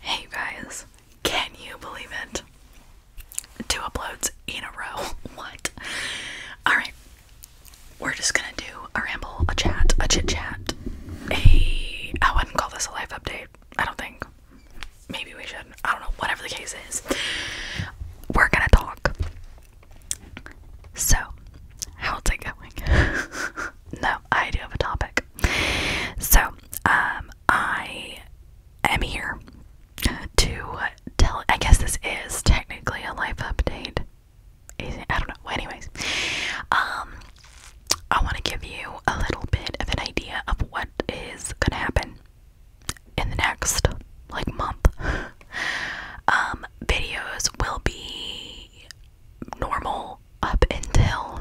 Hey guys, can you believe it? Two uploads in a row. What? Alright, we're just gonna do a ramble, a chat, a chit chat, a. I wouldn't call this a life update, I don't think. Maybe we should. I don't know, whatever the case is. We're gonna talk. So, how's it going? no, I do have a topic. So, um, um, I am here to tell. I guess this is technically a life update. I don't know. anyways, um, I want to give you a little bit of an idea of what is gonna happen in the next like month. um, videos will be normal up until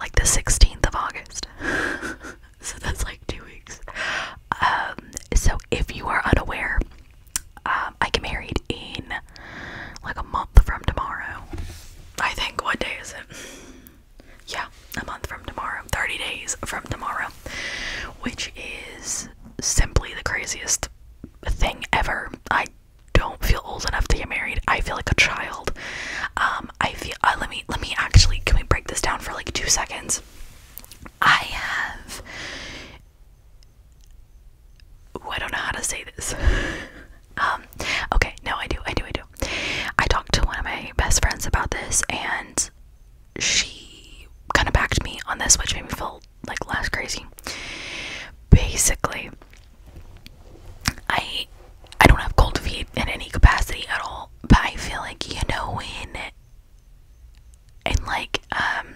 like the 16th of August. so that's like two weeks. Um, so if you are unaware, um, I get married in like a month from tomorrow. I think, what day is it? Yeah, a month from tomorrow. 30 days from tomorrow. Which is simply the craziest thing ever. I don't feel old enough to get married. I feel like a child. Um, I feel. Uh, let me. Let me actually. Can we break this down for like two seconds? I have. I don't know how to say this. um. Okay. No, I do. I do. I do. I talked to one of my best friends about this, and she kind of backed me on this, which made me feel like less crazy. Basically, I I don't have cold feet in any capacity at all, but I feel like you know when in like um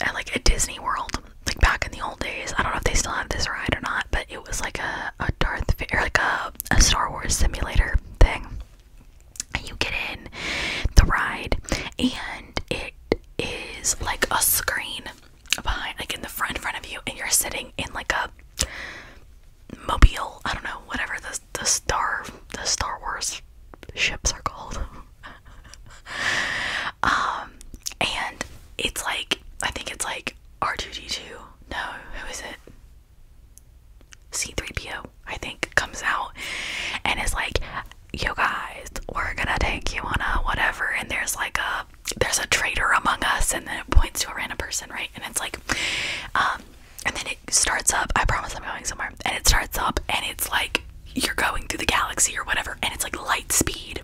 at like a Disney World, like back in the old days. I don't know if they still have this ride or not, but it was like a, a Darth Vader, like a, a Star Wars simulator thing. And you get in the ride, and it is like a screen behind, like in the front, front of you, and you're sitting in like a mobile. I don't know, whatever the the star the Star Wars ships are called. um, and it's like I think it's like R2D2. No, who is it? C3PO, I think, comes out and is like, you guys, we're gonna take you on a whatever, and there's like a there's a traitor among us, and then it points to a random person, right? And it's like, um, and then it starts up. I promise I'm going somewhere, and it starts up, and it's like you're going through the galaxy or whatever, and it's like light speed,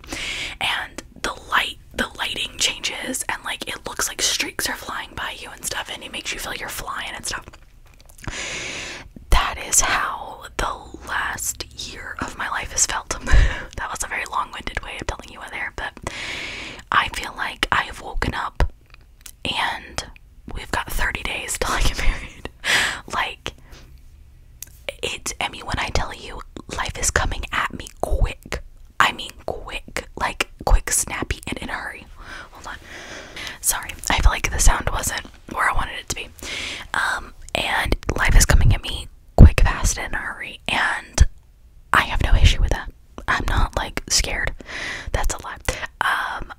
and the light the lighting changes, and like it looks like streaks are flying by you and stuff, and it makes you feel you're flying and stuff. That is how the last year of my life has felt. that was a very long winded way of telling you whether there, but I feel like I have woken up and we've got 30 days till I get married. like, it's, Emmy. when I tell you life is coming at me quick, I mean quick, like quick, snappy, and in a hurry. Hold on. Sorry, I feel like the sound wasn't where I wanted it to be. Um, and life is coming at me quick, fast, in a hurry, and I have no issue with that. I'm not like scared. That's a lot. Um,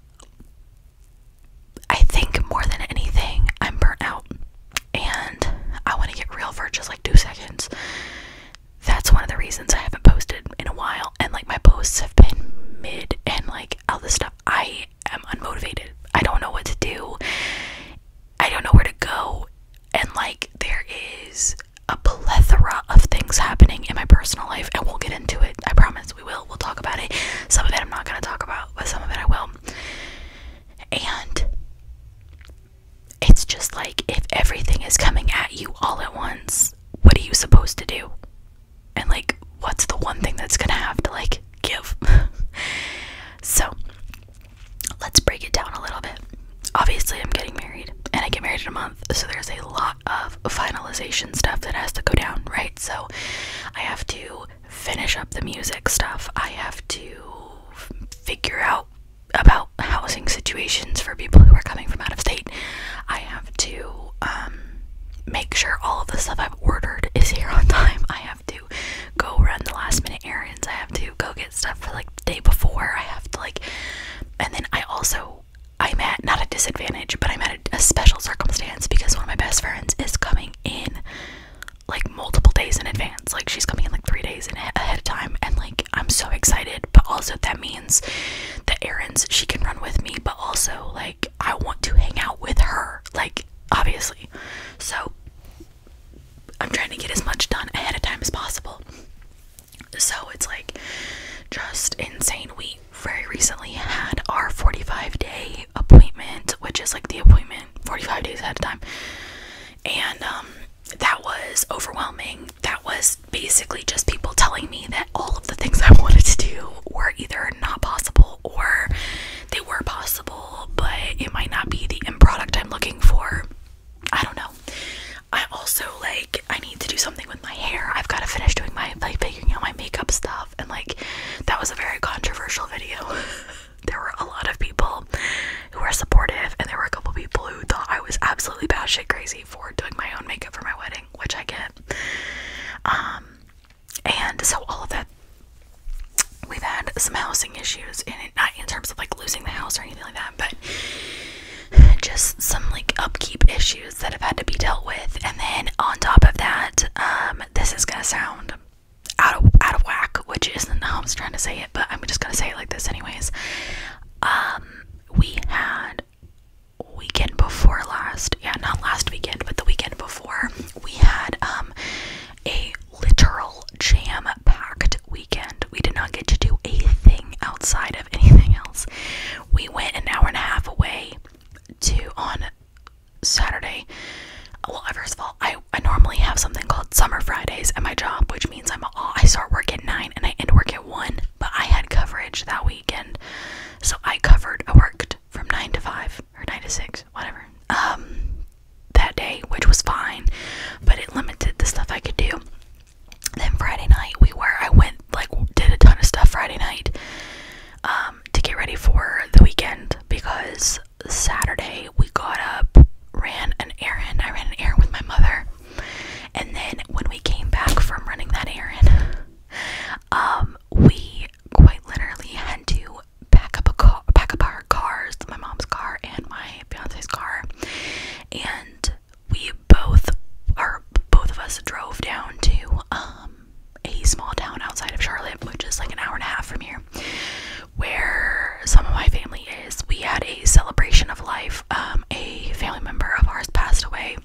I think more than anything, I'm burnt out, and I want to get real for just like two seconds. That's one of the reasons I haven't posted in a while, and like my posts have been mid and like all this stuff. I i am unmotivated. I don't know what to do. I don't know where to go. And like, there is a plethora of things happening in my personal life, and we'll get into it. I promise we will. We'll talk about it. Some of it I'm not going to talk about, but some of it I will. And it's just like if everything is coming at you all at once, what are you supposed to do? And like, what's the one thing that's going to have to like give? so, let's break it down a little bit. Obviously, I'm getting married, and I get married in a month, so there's a lot of finalization stuff that has to go down, right? So, I have to finish up the music stuff, I have to figure out about housing situations for people who are coming from out of state, I have to um, make sure all of the stuff I've ordered is here on time, I have have to go run the last minute errands. I have to go get stuff for like the day before. I have to like, and then I also I'm at not a disadvantage, but I'm at a, special circumstance because one of my best friends is coming in like multiple days in advance. Like she's coming in like three days ahead of time, and like I'm so excited. But also that means the errands she can run with me, but also like I want to hang out with her. Like obviously, so I'm trying to get as much done ahead of time as possible. So it's like just insane. We very recently had our 45 day appointment, which is like the appointment 45 days ahead of time. And um, that was overwhelming. That was basically just people telling me that all of the things I wanted to do were either not possible or they were possible, but it might not be the end product I'm looking for. I don't know. I also like I need to do something with my hair. I've got to finish doing my like figuring out my makeup stuff and like that was a very controversial video. there were a lot of people who were supportive and there were a couple people who thought I was absolutely batshit crazy for doing my own makeup for my wedding, which I get. Um and so all of that we've had some housing issues in in terms of like losing the house or anything like that, but just some like upkeep issues that have had to be dealt with. And then on top of that, um, this is gonna sound out of out of whack, which isn't how I'm trying to say it, but I'm just gonna say it like this anyways. Um, we had weekend before last, yeah, not last weekend, but the weekend before, we had um a literal jam packed weekend. We did not get to do a thing outside of anything else. We went an hour and a half away to on Saturday. Well, first of all, I, I normally have something called Summer Fridays at my job, which means I'm I start work at 9 and I end work at 1, but I had coverage that weekend. So I covered, I worked from 9 to 5 or 9 to 6, whatever, um, that day, which was fine, but it limited the stuff I could do. Then Friday night, we were, I went, like, did a ton of stuff Friday night, um, to get ready for the weekend because Saturday we got up, ran an errand. I ran an errand with my mother. And then when we came back from running that errand, um, we quite literally had to pack up a car, pack up our cars, my mom's car and my fiance's car, and we both, or both of us, drove down to um, a small town outside of Charlotte, which is like an hour and a half from here, where some of my family is. We had a celebration of life. Um, a family member of ours passed away.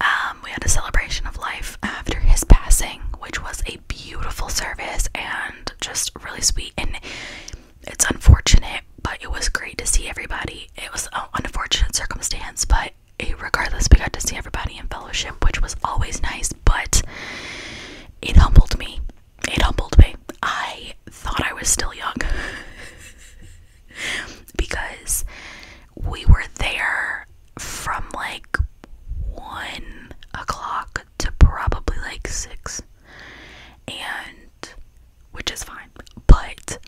Um, we had a celebration of life after his passing, which was beautiful service and just really sweet. And it's unfortunate, but it was great to see everybody. It was an unfortunate circumstance, but regardless, we got to see everybody in fellowship, which was always nice. But it humbled me. It humbled me. I thought I was still young because we were there from like one o'clock to probably like six, and which is fine, but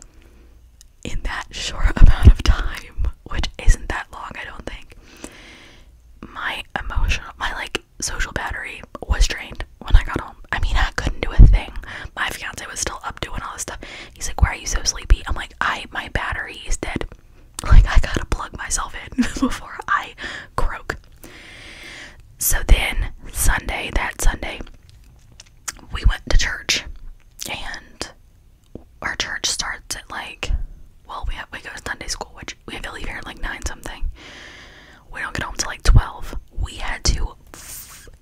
in that short amount of time, which isn't that long, I don't think, my emotional, my like social battery was drained when I got home. I mean, I couldn't do a thing. My fiance was still up doing all this stuff. He's like, Why are you so sleepy? I'm like, I, my battery is dead. Like, I gotta plug myself in before I croak. So then, Sunday, that Sunday, we went to church. And our church starts at like, well, we, have, we go to Sunday school, which we have to leave here at like 9 something. We don't get home till like 12. We had to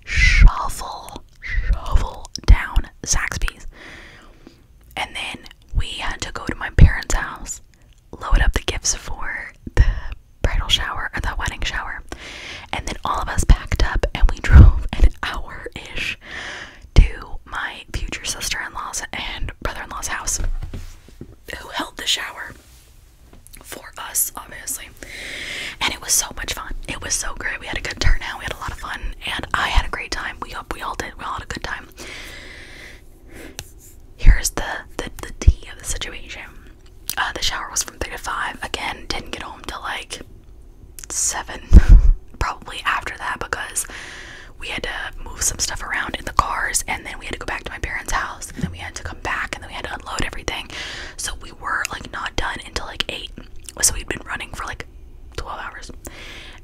shovel, shovel down Zaxby's. And then we had to go to my parents' house Loaded up the gifts for the bridal shower or the wedding shower. And then all of us packed up and we drove an hour ish to my future sister in law's and brother in law's house, who held the shower for us, obviously. And it was so much fun. It was so great. We had a good turnout. We had a lot of fun. And I had a great time. We we all did. We all had a good time. Here's the the the tea of the situation. Uh, the shower was from three to five. Again, didn't get home till like seven, probably after that because we had to move some stuff around in the cars, and then we had to go back to my parents' house, and then we had to come back, and then we had to unload everything. So we were like not done until like eight. So we'd been running for like twelve hours,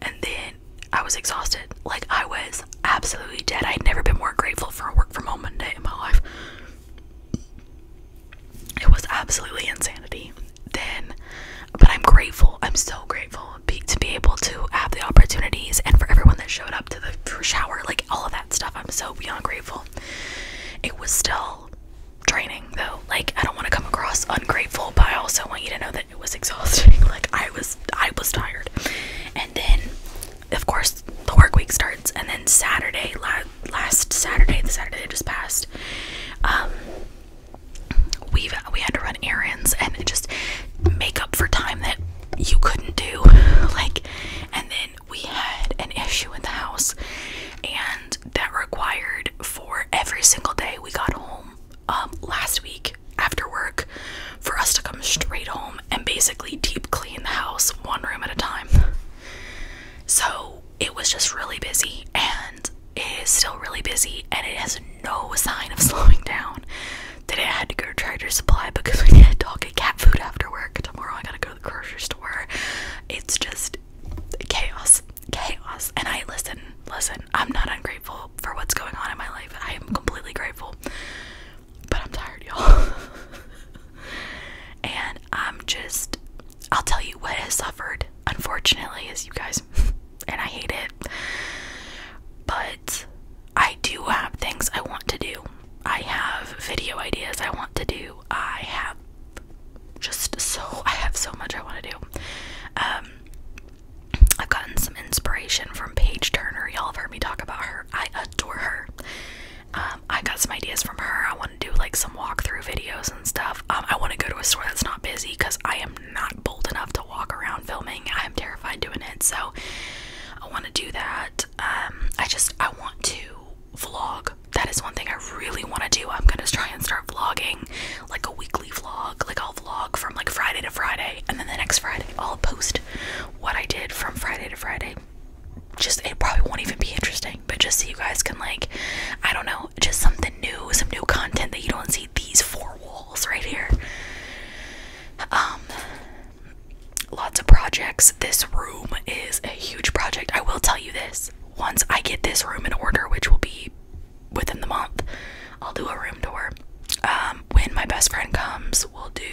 and then I was exhausted. Like, I was absolutely dead. I had never been more grateful for a work from home Monday in my life. It was absolutely insanity. Then, but I'm grateful. I'm so grateful to be able to have the opportunities and for everyone that showed up to the shower, like all of that stuff. I'm so beyond grateful. It was still draining though. Like, I don't want to come across ungrateful, but I also want you to know that it. was exhausting. Like I was I was tired. And then of course the work week starts and then Saturday last Saturday, the Saturday that just passed, um, we we had to run errands and just make up for time that you couldn't do like and then we had an issue in the house and that required for every single day we got home um, last week after work for us to come straight home and basically deep clean the house one room at a time. So it was just really busy and it is still really busy and it has no sign of slowing down. Today I had to go to Tractor Supply because we need a dog and cat food after work. Tomorrow I gotta go to the grocery store. It's just chaos. Chaos. And I listen, listen, I'm not ungrateful for what's going on in my life. I am completely grateful. But I'm tired, y'all. and I'm just, I'll tell you what has suffered, unfortunately, as you guys. and I hate it. But I do have things I want to do. I have video ideas I want to do. I have just so, I have so much I want to do. Um, I've gotten some inspiration from Paige Turner. Y'all have heard me talk about her. I adore her. Um, I got some ideas from her. I want to do like some walkthrough videos and stuff. Um, I want to go to a store that's not busy because I am not bold enough to walk around filming. I am terrified doing it. So I want to do that. Um, I just, I want to vlog. That is one thing I really want to do. I'm going to try and start vlogging like a weekly vlog. Like all vlog from like Friday to Friday, and then the next Friday I'll post what I did from Friday to Friday. Just it probably won't even be interesting, but just so you guys can like, I don't know, just something new, some new content that you don't see these four walls right here. Um, lots of projects. This room is a huge project. I will tell you this once I get this room in order, which will be within the month. I'll do a room tour. Um, when my best friend comes, we'll do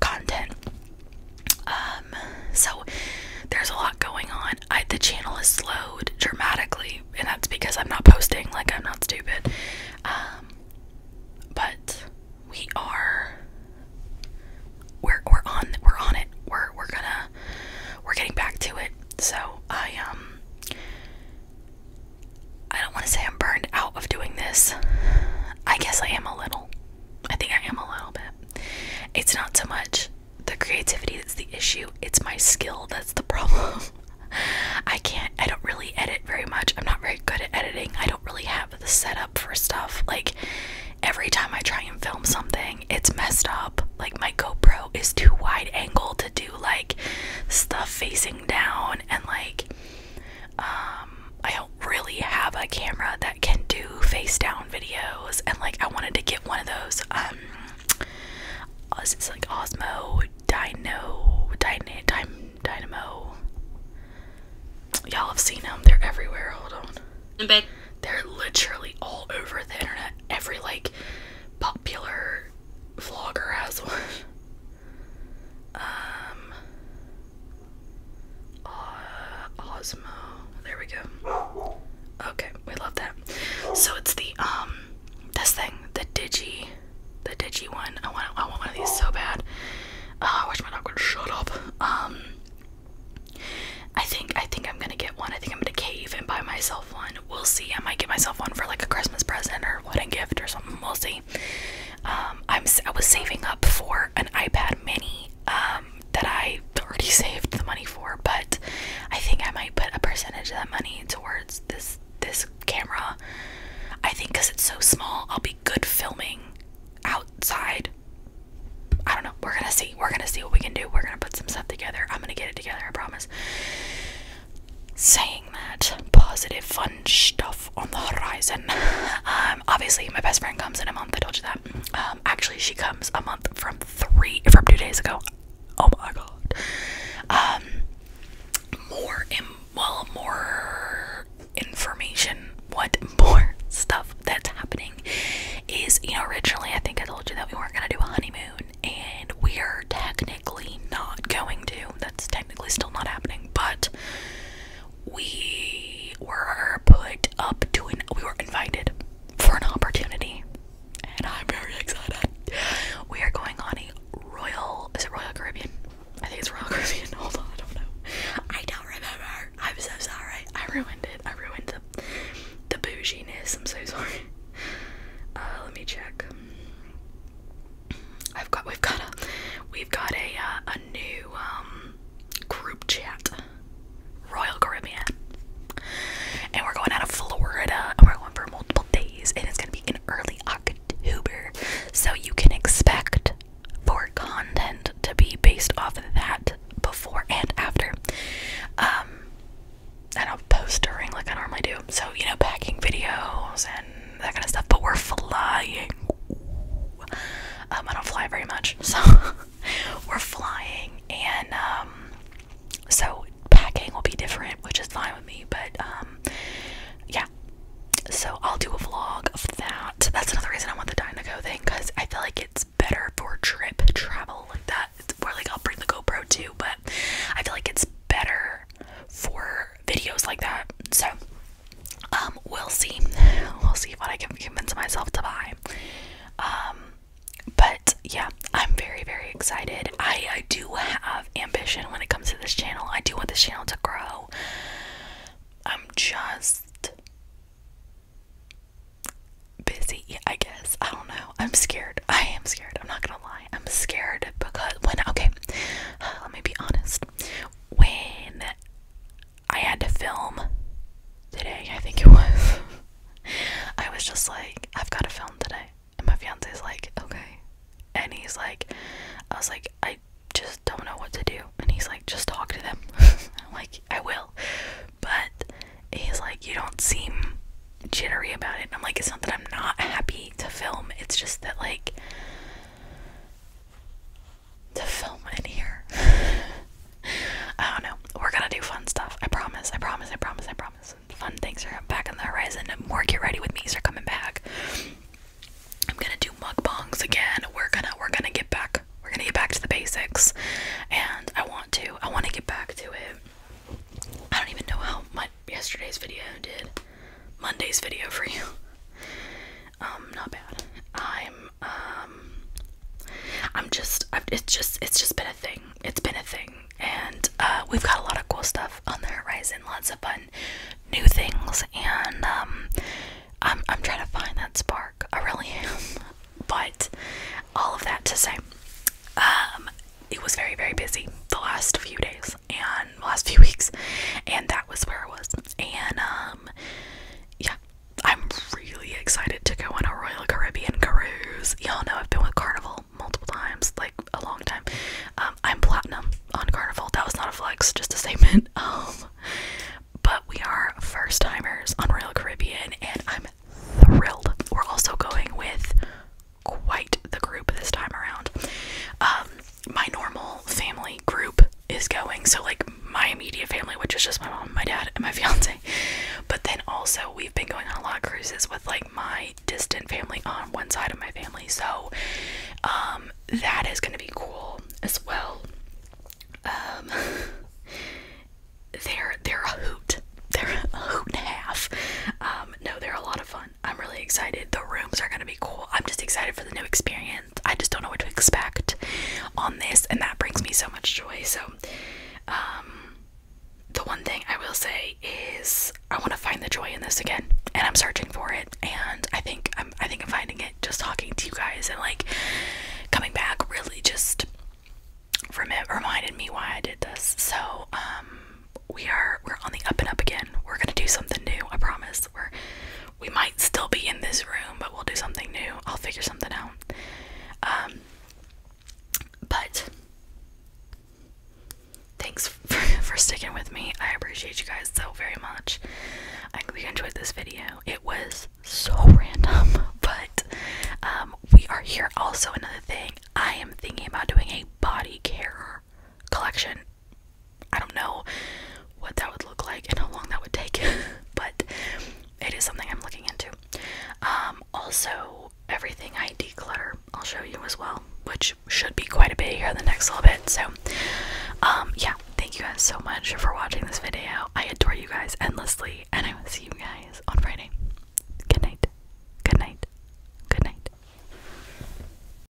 content. Um, so there's a lot going on. I, the channel is slowed dramatically, and that's because I'm not posting. Like I'm not stupid. Um, but we are. We're we're on we're on it. We're we're gonna we're getting back to it. So I um I don't want to say I'm burned out of doing this. I guess I am a little. I think I am a little bit. It's not so much the creativity that's the issue, it's my skill that's the problem. I can't, I don't really edit very much. I'm not very good at editing. I don't really have the setup for stuff. Like, every time I try and film something, it's messed up. Like, my GoPro is too wide angle to do, like, stuff facing down and, like, um, I don't really have a camera that can do face down videos, and like I wanted to get one of those. Um, uh, it's like Osmo Dino Dyna, Dyn Dynamo. Y'all have seen them; they're everywhere. Hold on. In bed. They're literally all over the internet. Every like popular vlogger has one. Um, uh, Osmo. There we go. Okay, we love that. So it's the um, this thing, the Digi, the Digi one. I want, I want one of these so bad. Uh, I my dog shut up. Um, I think, I think I'm gonna get one. I think I'm gonna cave and buy myself one. We'll see. I might get myself one for like a Christmas present or wedding gift or something. We'll see. Um, I'm I was saving up for an iPad Mini um, that I already saved the money for, but I think I might put a percentage of that money towards this this camera. I think because it's so small, I'll be good filming outside. I don't know. We're gonna see. We're gonna see what we can do. We're gonna put some stuff together. I'm gonna get it together. I promise saying that positive fun stuff on the horizon um, obviously my best friend comes in a month i told you that um, actually she comes a month from three from two days ago oh my god um more well more information what more stuff that's happening is you know originally i think i told you that we weren't gonna do a honeymoon and we're technically not going to. That's technically still not happening, but we were put up to an we were invited for an opportunity. And I'm very excited. We are going on a Royal is it Royal Caribbean? I think it's Royal Caribbean. Hold on, I don't know. I don't remember. I'm so sorry. I ruined it. I ruined the the ness. I'm so sorry. Uh, let me check. I've got we've got a we've got a uh, a new um, group chat. Royal Caribbean. And we're going out of Florida and we're going for multiple days and it's gonna be in early October. So you can expect for content to be based off of that before and after. Um and I'll post during like I normally do. So, you know, packing videos and that kind of stuff. But we're flying. Um, I don't fly very much, so we're flying, and um, so packing will be different, which is fine with me. But um, yeah, so I'll do a vlog of that. That's another reason I want the Dynaco thing because I feel like it's better for trip travel like that. It's, or like I'll bring the GoPro too, but I feel like it's better for videos like that. So, um, we'll see. We'll see what I can convince myself to buy. Um, but yeah, I'm very, very excited. I, I do have ambition when it comes to this channel. I do want this channel to grow. I'm just busy, I guess. I don't know. I'm scared. I am scared. I'm not gonna lie. I'm scared because when, okay, let me be honest when I had to film today, I think it was. I was just like, I've got to film today. And my fiance is like, okay. And he's like, I was like, I just don't know what to do. And he's like, just talk to them. I'm like, I will. But he's like, you don't seem jittery about it. And I'm like, it's not that I'm not happy to film, it's just that, like, to film in here. I don't know. We're gonna do fun stuff. I promise. I promise. I promise. I promise. Fun things are back on the horizon. more get ready with me's are coming back. I'm gonna do mukbangs again. We're gonna we're gonna get back. We're gonna get back to the basics. And I want to. I want to get back to it. I don't even know how my yesterday's video did. Monday's video for you. Um, not bad. I'm um I'm just it's just it's just been a thing. It's been a thing. And uh, we've got a lot of cool stuff on the horizon, lots of fun new things and um I'm I'm trying to find that spark. I really am. But all of that to say um it was very very busy the last few days and last few weeks and that was where I was and um yeah I'm really excited to go on a Royal Caribbean cruise y'all know I've been with Carnival multiple times like a long time um I'm platinum on Carnival that was not a flex just a statement um, but we are first timers on Royal Caribbean and I'm thrilled we're also going with quite the group this time around um, my normal family group is going. So, like, my immediate family, which is just my mom, my dad, and my fiance. But then also, we've been going on a lot of cruises with like my distant family on one side of my family. So, um, that is going to be cool as well. Um, they're they're a hoot. They're a hoot and a half. Um, no, they're a lot of fun. I'm really excited. The rooms are gonna be cool. I'm just excited for the new experience. I just don't know what to expect on this, and that brings me so much joy. So, um, the one thing I will say is I want to find the joy in this again, and I'm searching for it. And I think I'm, I think I'm finding it just talking to you guys and like coming back. Really, just from it reminded me why I did this. So, um, we are we're on the up and up again. We're gonna do something new. I promise we might still be in this room, but we'll do something new. I'll figure something out. Um, but thanks for, sticking with me. I appreciate you guys so very much. I hope you enjoyed this video. It was so random, but um, we are here. Also, another thing I am thinking about doing a body care collection I don't know what that would look like and how long that would take, but it is something I'm looking into. Um, also, everything I declutter, I'll show you as well, which should be quite a bit here in the next little bit. So, um, yeah, thank you guys so much for watching this video. I adore you guys endlessly, and I will see you guys on Friday. Good night. Good night. Good night.